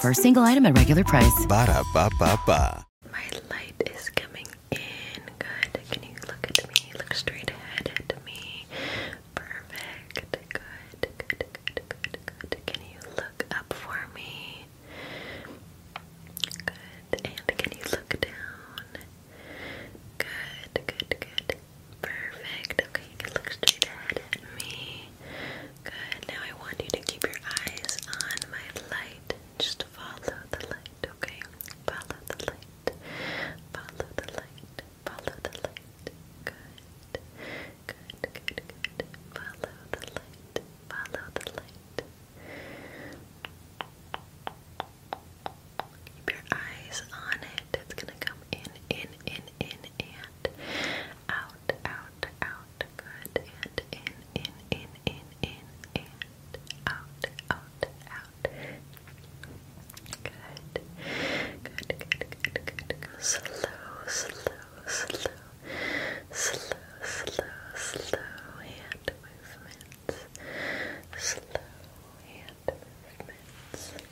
For a single item at regular price. Ba da ba ba My light is coming in good. Can you look at me? Look straight ahead at me. Perfect. Good, good, good, good, good. Can you look up for me? Good. And can you look down? Good, good, good. Perfect. Okay, you look straight ahead at me. Good. Now I want you to keep your eyes on my light. Just follow the light, okay? Follow the light. Follow the light. Follow the light. Good. Good, good, good. Follow the light. Follow the light. Keep your eyes on it. It's gonna come in, in, in, in, and out, out, out, good, and in, in, in, in, in, and out, out, out, good, good, good, good, good, slow, slow, slow, slow, slow, slow hand movements, slow hand movements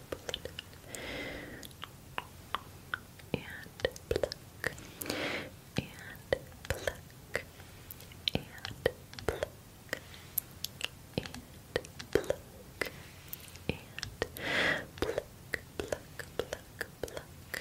pull it And pluck. And pluck. And pluck. And pluck. And pluck. Pluck. Pluck. Pluck.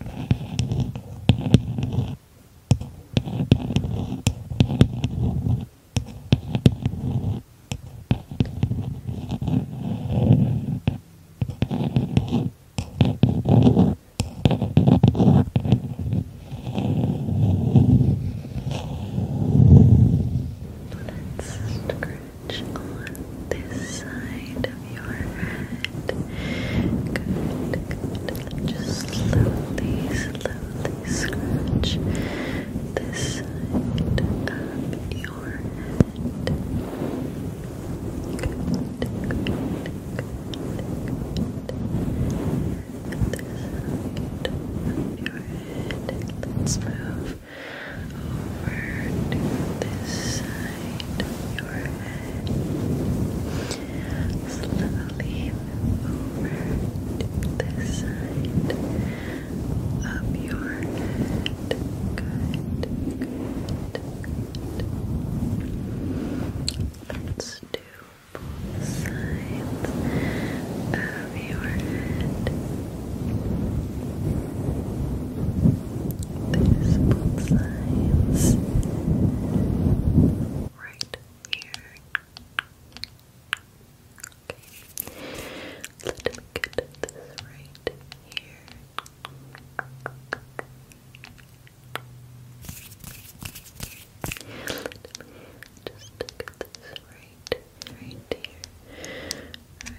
Let's scratch on this side of your head. Good, Just slowly, slowly scratch this side of your head. Good, good, good, good. This side of your head. Let's move over to this side of your head. Slowly over this side of your head. Good, good. Let's do both sides of your head. There's both sides. Right here. Okay. Let me get this right here. Let me just this right, right here. Right there, right there.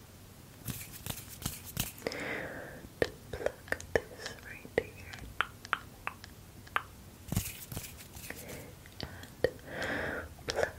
To pluck this right here. And pluck this.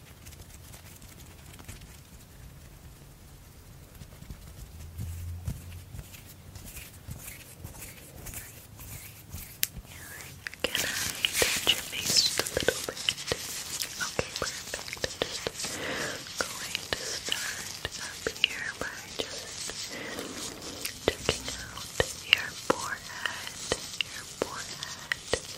Can I touch your face a little bit? Okay, perfect. i just going to start up here by just checking out your forehead, your forehead,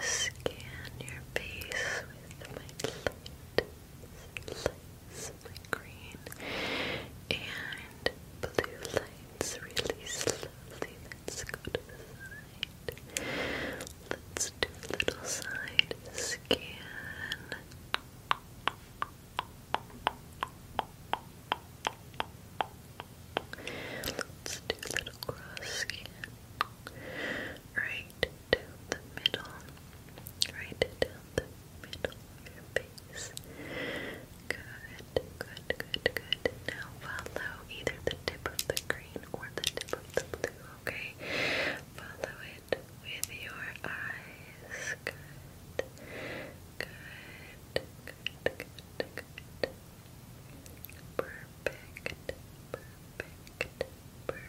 Scan your face with my light, lights, my green and blue lights really slowly. Let's go to the side. Let's do a little side scan. Let's do little cross scan. Right down the middle. Right down the middle of your face. Good, good, good, good. Now follow either the tip of the green or the tip of the blue, okay? Follow it with your eyes. Good. Good, good, Perfect, perfect, perfect, perfect, perfect.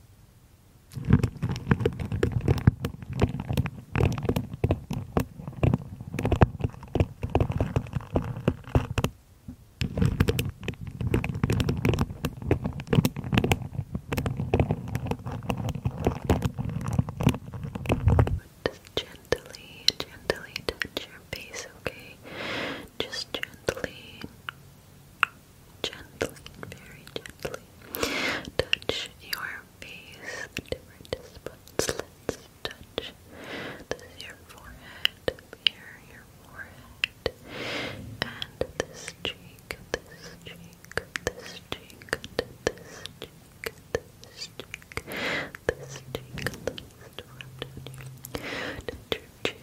Just gently, gently touch your face, okay? Just gently gently, very gently touch your face, different spots. Let's touch. This your forehead, here, your forehead, and this cheek, this cheek, this cheek, this cheek, this cheek, this cheek, this cheek, this cheek,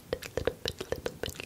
bit, little bit, little bit. Good.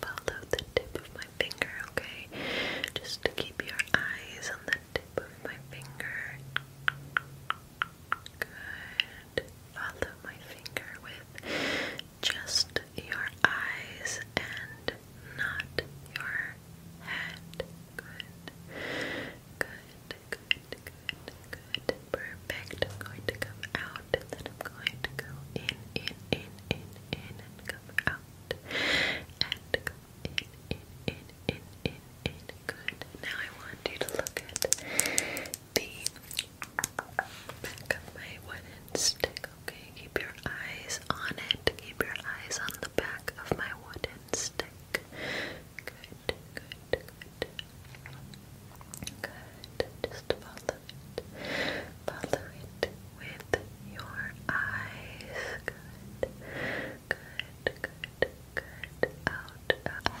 Follow the tip of my finger, okay? Just keep your eyes on the tip of my finger. Good. Follow my finger with just just your eyes and not your head. Good. Good, good, good, good. Perfect. I'm going to come out then I'm going to go in, in, in, in, in, come out. And in, in, in, in, in, in. Good. Now I want you to look at the back of my wooden stick okay? Keep your eyes on it. Keep your eyes on the back of my wooden stick. Good, good, good. Good. Just follow it. Follow it with your eyes. Good. Good, good, good. Out, out.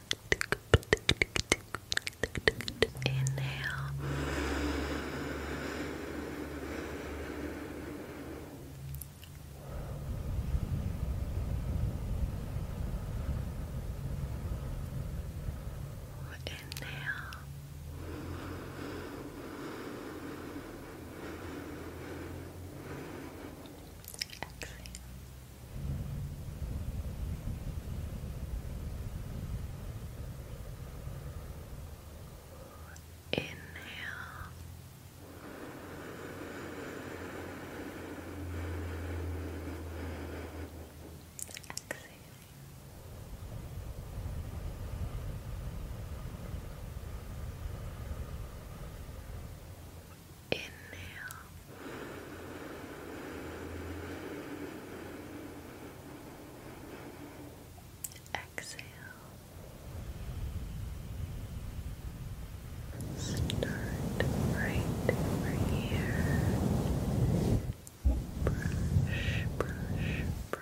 Inhale. Inhale. Exhale. Inhale. Exhale. Inhale. Exhale. Start right here. brush, brush. Brush,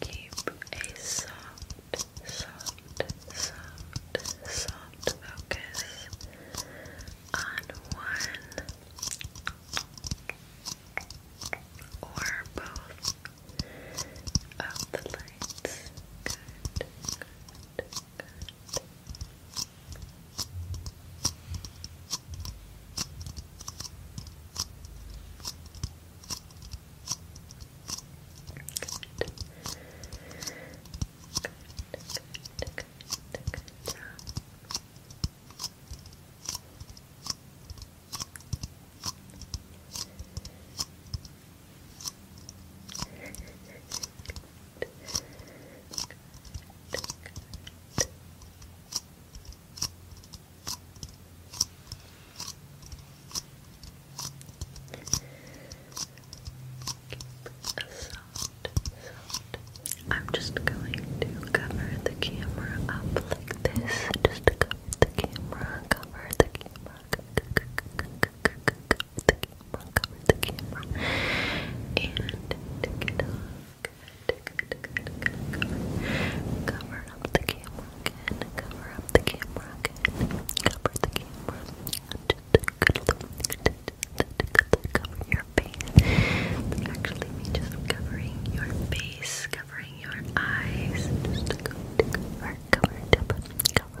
Keep a soft, soft, soft, soft focus on one or both of the lights. Good, good, good. Good. Good, good, good, good job. I'm just going to cover the camera up like this. Just cover the camera, cover the camera, the camera, cover the camera, and tick it cover, the camera again, cover the camera again, cover the camera, just cover your face, actually me just covering your face, covering your eyes, cover, cover, cover,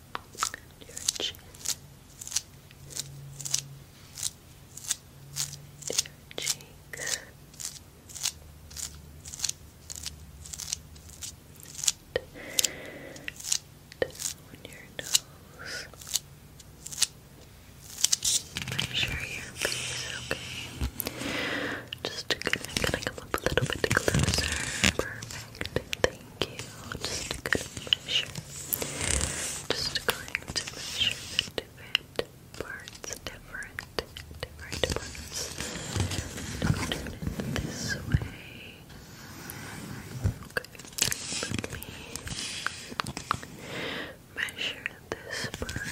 your chin, your cheeks, down your nose. Make sure your face is okay. Just gonna, come up a little bit closer. Perfect you. Just going to measure different parts, different, different parts. do it this way. Okay, let me measure this part.